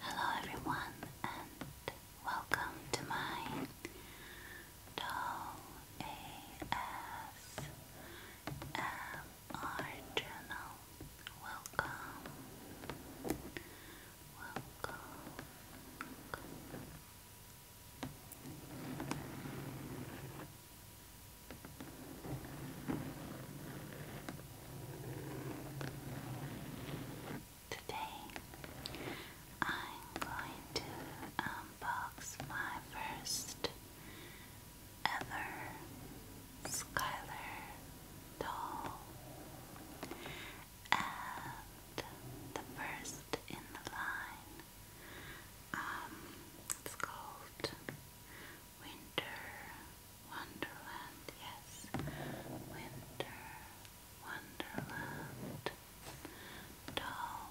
Hello everyone and welcome to my Doll ASMR channel. Welcome. Welcome. Today I'm going to unbox my first ever Skylar doll. And the first in the line. Um, it's called Winter Wonderland. Yes, Winter Wonderland doll.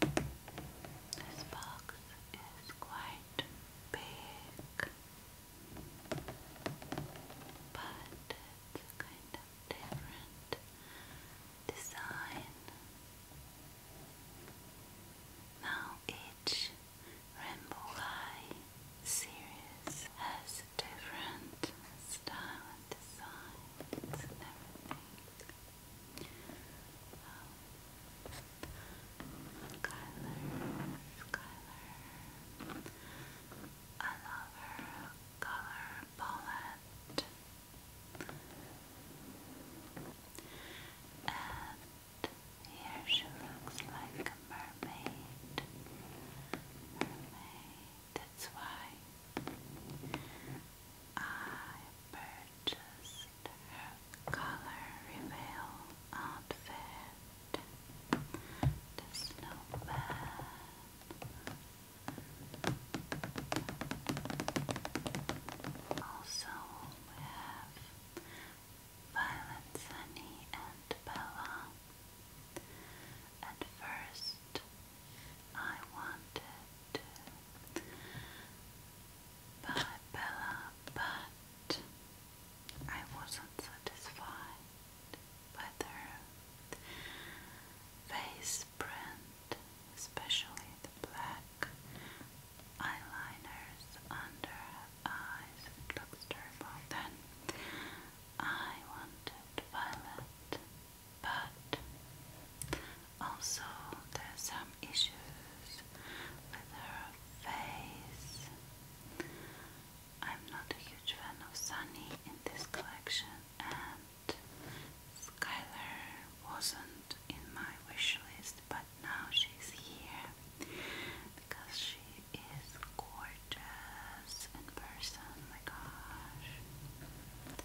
This box is quite big, but it's a kind of different design. Now each Rainbow High series has different style and design and everything. Um, Skylar, I love her color palette, and here she looks like a mermaid. Mermaid. That's why I purchased her color reveal outfit. The snowman. Also, have Violet, Sunny, and Bella. At first, I Wanted to but I wasn't satisfied with her face print, especially the black eyeliners under eyes. It looks Then I wanted violet but also there's some issues with her face. I'm not a huge fan of Sunny in this collection and Skylar wasn't in my wish list but now she's here because she is gorgeous in person, my gosh.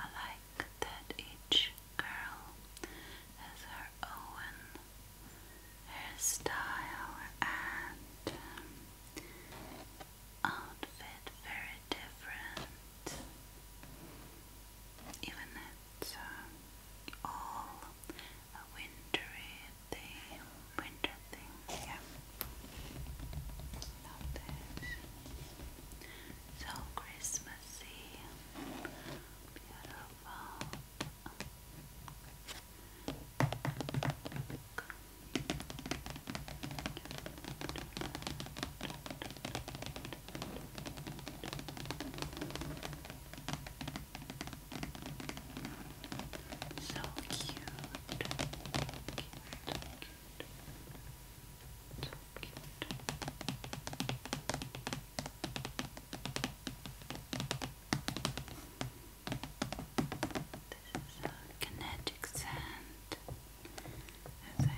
I like that each girl has her own hairstyle and um, outfit, very different. Even it's uh, all a wintry the winter thing. Yeah. Love this. So Beautiful. So cute. This is a kinetic sand. there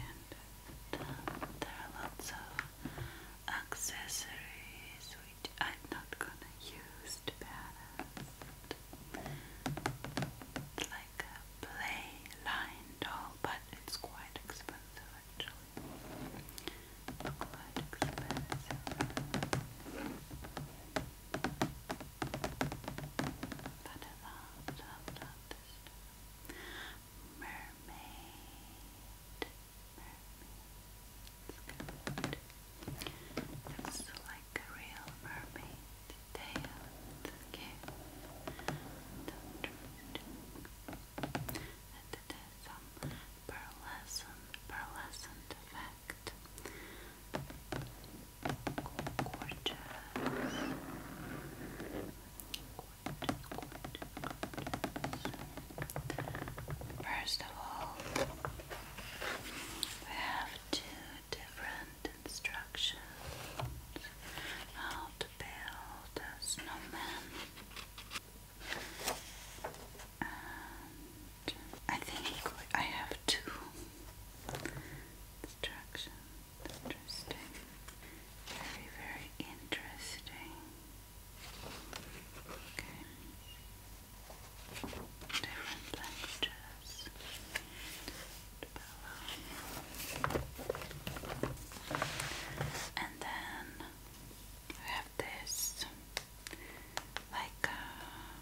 are lots of accessories which I'm not gonna use to balance like a play doll, but it's quite expensive actually. Quite expensive. But I love, love, Mermaid. Looks like a real mermaid tail. Okay. And it has some pearlescent, pearlescent effect. gorgeous. First of all, we have to different instructions how to build a snowman. I think I have two instructions. Interesting. Very, very interesting. Okay different languages. And then we have this like uh,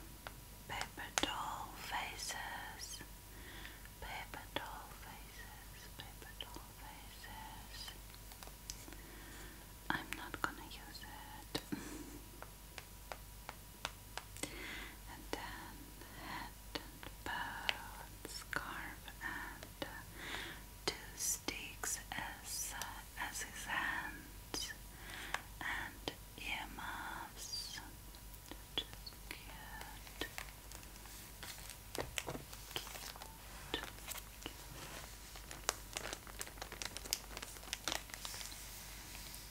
paper doll faces, paper doll faces, paper doll faces. I'm not gonna use it. and then head and bow scarf and uh, two sticks as uh, as his hands and earmuffs,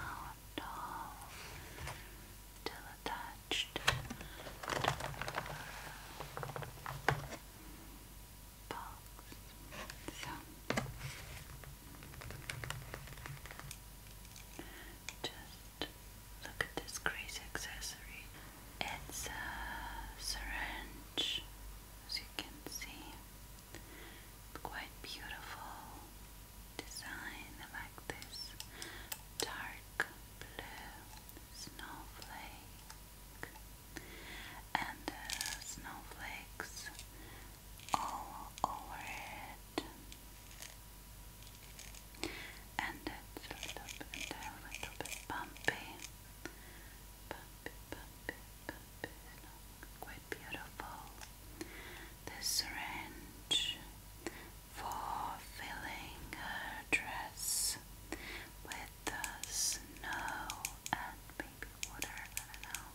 Oh no, still attached. Box. just look at this crazy accessory. It's a syringe, as you can see, it's quite beautiful design. like this dark blue snowflake and uh, snowflakes all over it. And it's a little bit, a little bit bumpy. quite beautiful the syringe for filling her dress with the snow and baby water. I don't know.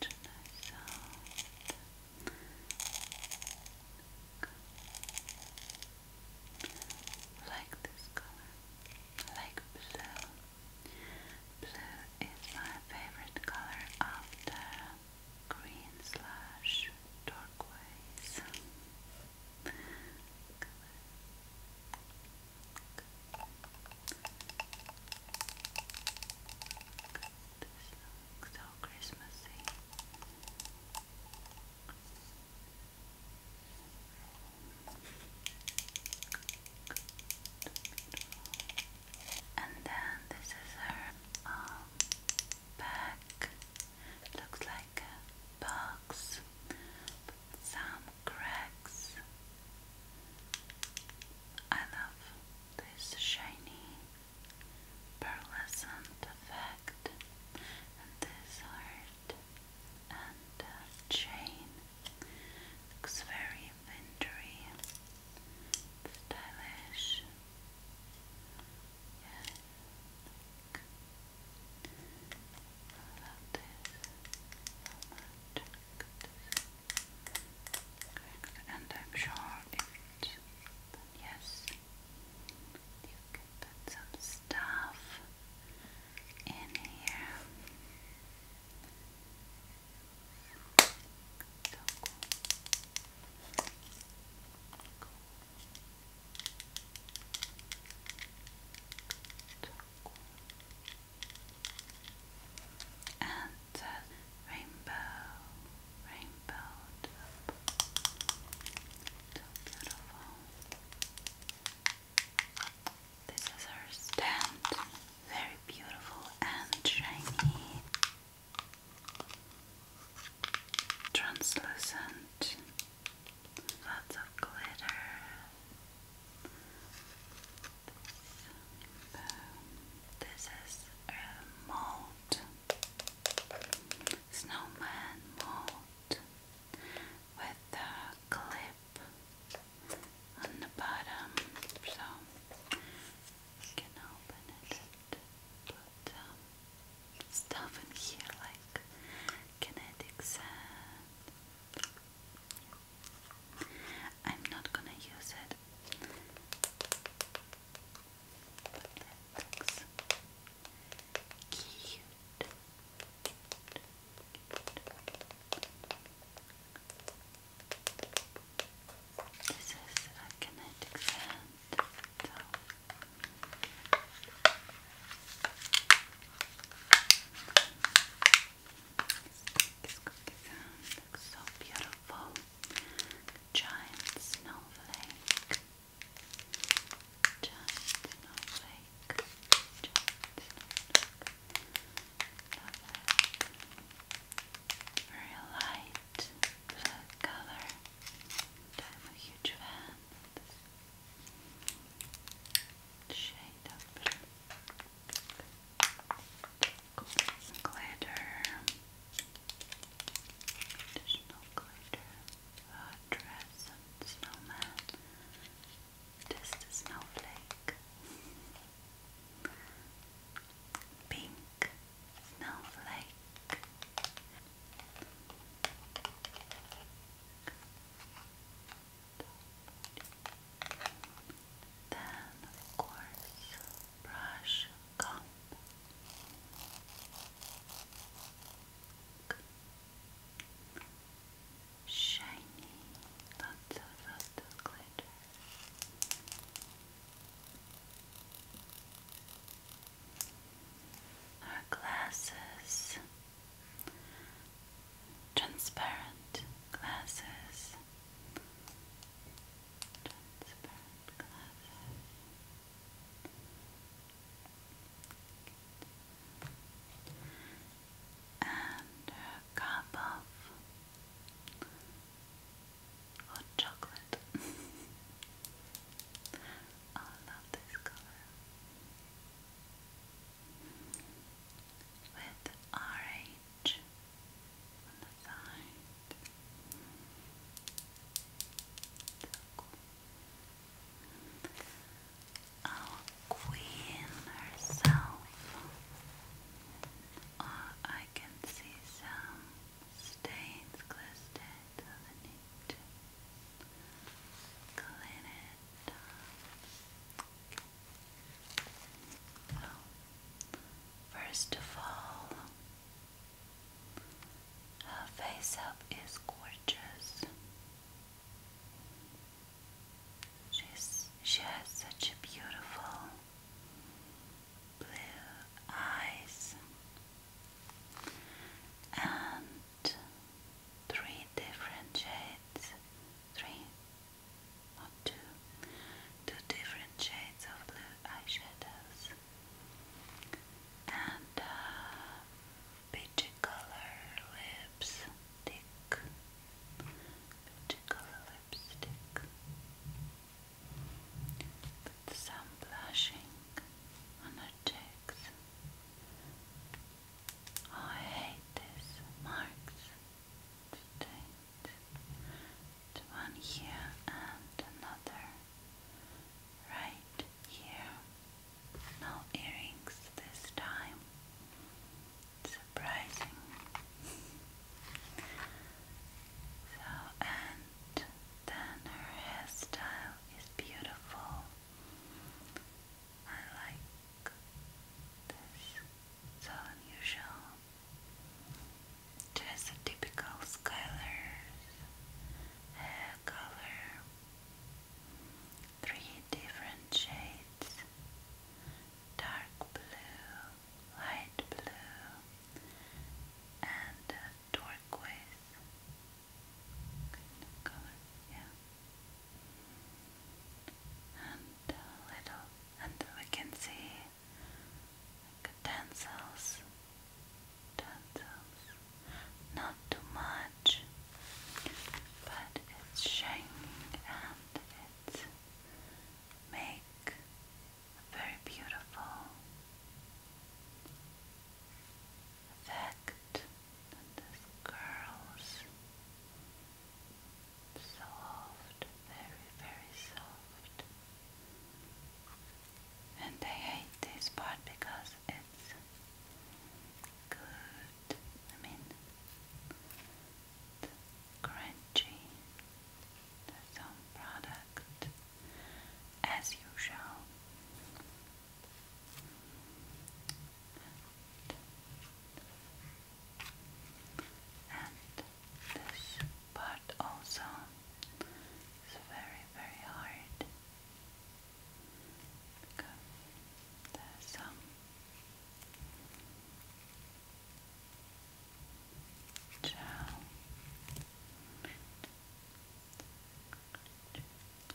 Such a nice sound like this color, like blue. Blue is my favorite color after green slash turquoise This looks so Christmassy. And then this is her um, back. Looks like a box some cracks. I love this shiny pearlescent effect. And this are shirt and a uh, chain. Looks very wintry, stylish. Yeah, look. I love this so much. Good. And I'm sure if yes, you can put some stuff in here. So cool. So cool. And uh, rainbow, rainbow So beautiful. This is our stand, very beautiful and shiny, translucent, lots of glitter. This is a mold, snowman mold with the cliff clip on the bottom, so you can open it put um, stuff in here like kinetic sand. I'm not gonna use it. But that looks cute. This is a kinetic sand. This cookie sound looks so beautiful. Giant snowflake. Giant snowflake. Giant snowflake. Very light blue color. I'm a huge fan shade of Glitter. Additional glitter. A dress and snowman. Just a snowflake. Pink snowflake. Then, of course, brush comb shiny, lots of lots of glitter. Our glasses, transparent glasses, transparent glasses and a cup of hot chocolate. I love this color with orange on the side. cool. Our queen herself. Ah, I can see some stains glistening, so first of all, her face up is gorgeous. She's, she has such a beautiful blue eyes and three different shades, three, not two, two different shades of blue eyeshadows. And uh, Peachy color lipstick. Peachy color lipstick. some blushing on her cheeks. I hate this marks. It's one here and another right here. No earrings this time. Surprising. so, and then her hairstyle is beautiful. I like this. So unusual. Just a typical Skylar's hair color three different shades dark blue, light blue, and turquoise kind of yeah. And little, and we can see like, tensils, tensils not too much, but it's shining and it make a very beautiful effect on these curls. Soft, very, very soft. And I hate this part because it's good good. I mean, crunchy. The some product, as usual. And this part also is very, very hard. Because there's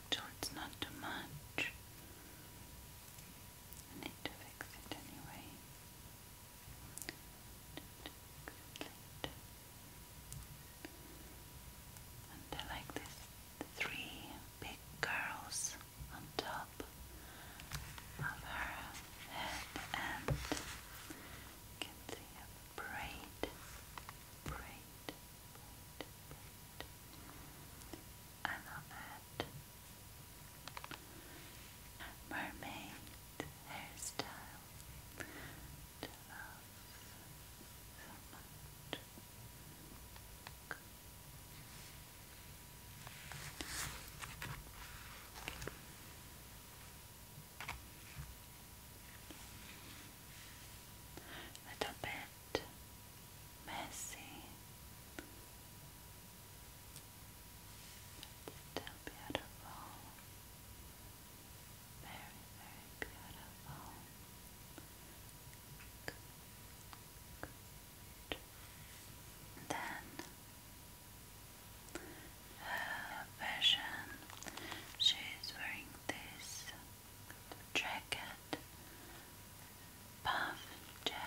So it's not too much. I need to fix it anyway. I like this three big curls on top of her head and can see a braid, braid, braid, braid. I love Mermaid hairstyle. so much. Little bit messy. But still beautiful. Very, very beautiful then uh, version, she's wearing this jacket, puff jacket.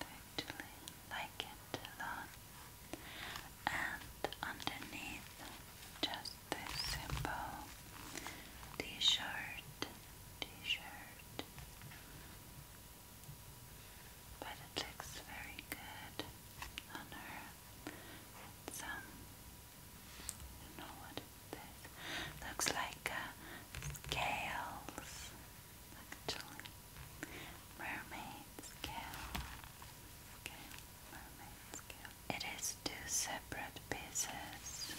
actually like it a lot and underneath just this simple t-shirt, t-shirt. But it looks very good on her. Some, um, I know what it is. Looks like uh, scales, actually. Mermaid scale. Okay, mermaid scale it is two separate pieces.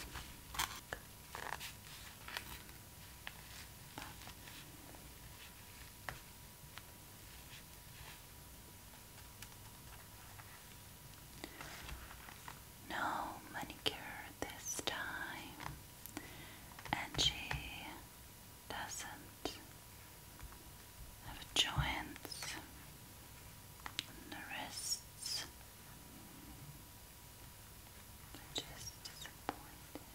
No manicure this time, and she doesn't of joints and the wrists, which is disappointing.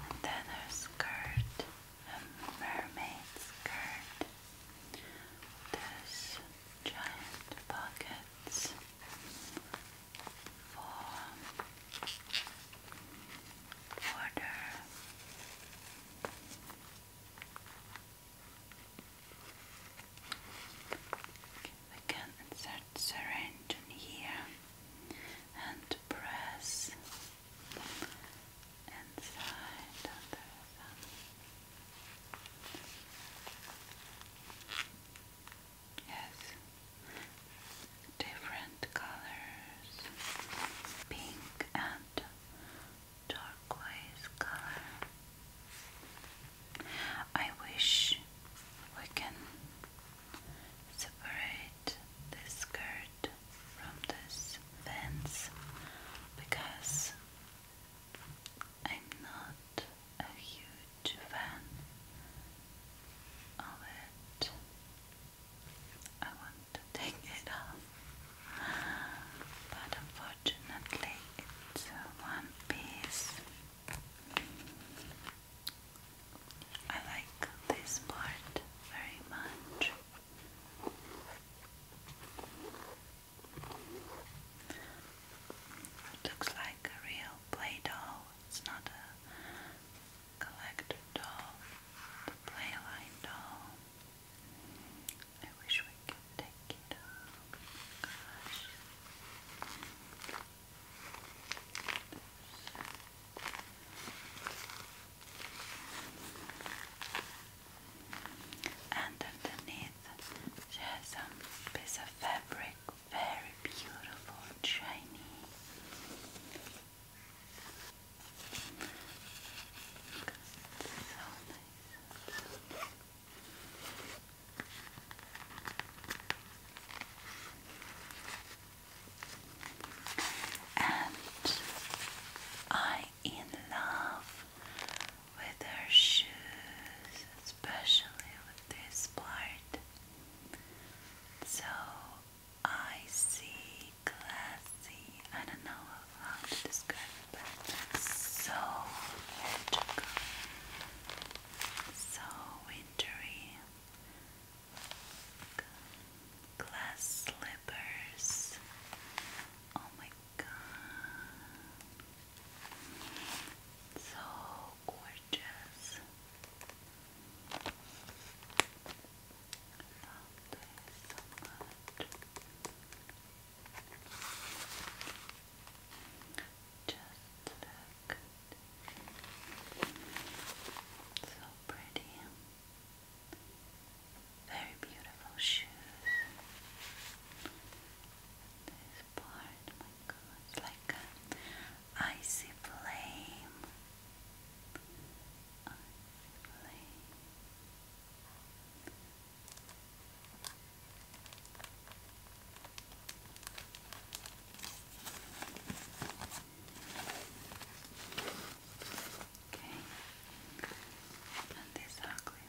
And then her skirt, a um, mermaid skirt. There's giant pockets for water. We can insert syringe in here and press and side under Yes, different colors, pink and turquoise color. I wish we can separate this skirt from this fence because I'm not a huge fan of it. I want to take it off, but unfortunately, it's one piece. I like this part very much. It looks like a real play doll. It's not a collector playline doll. I wish we could take it Gosh. Underneath she has some piece of fabric, very beautiful and shiny. so nice. And I in love with her shoes, especially with this part. So I classy. I don't know how to describe it, so magical, so wintry. Glass slipper peppers. Oh my god. So gorgeous. Just look. So pretty. Very beautiful shoes. this part, my god, it's like icy flame. Okay, and these are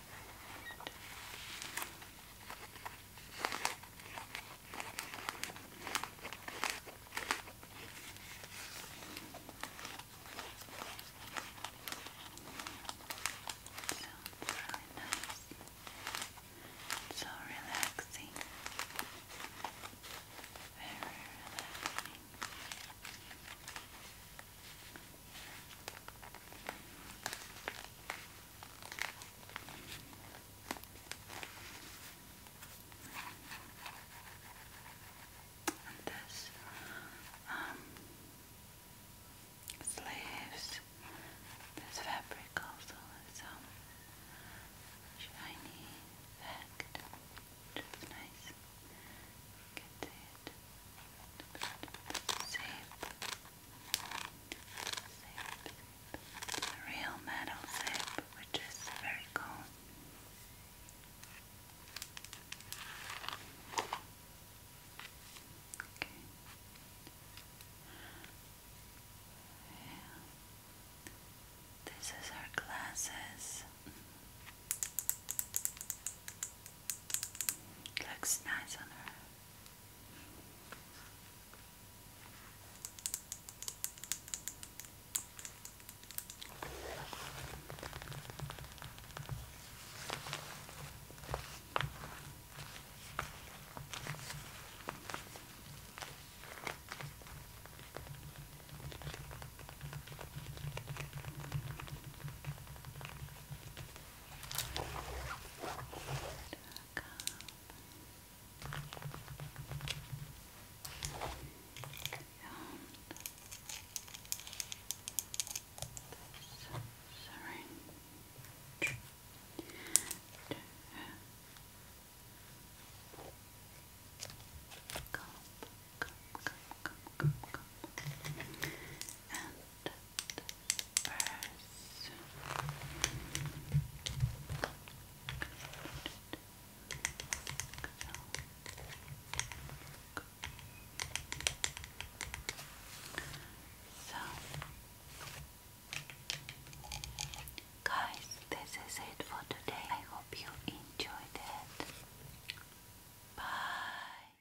Sounds really nice. So relaxing. Very relaxing. And this um, sleeves, this fabric also has some um, shiny effect, which nice. You real metal safe, which is very cool. Okay. This is her glasses. Looks nice on her syringe Come, come, come, come, come, come. And so, guys, this is it for today. I hope you enjoyed it. Bye.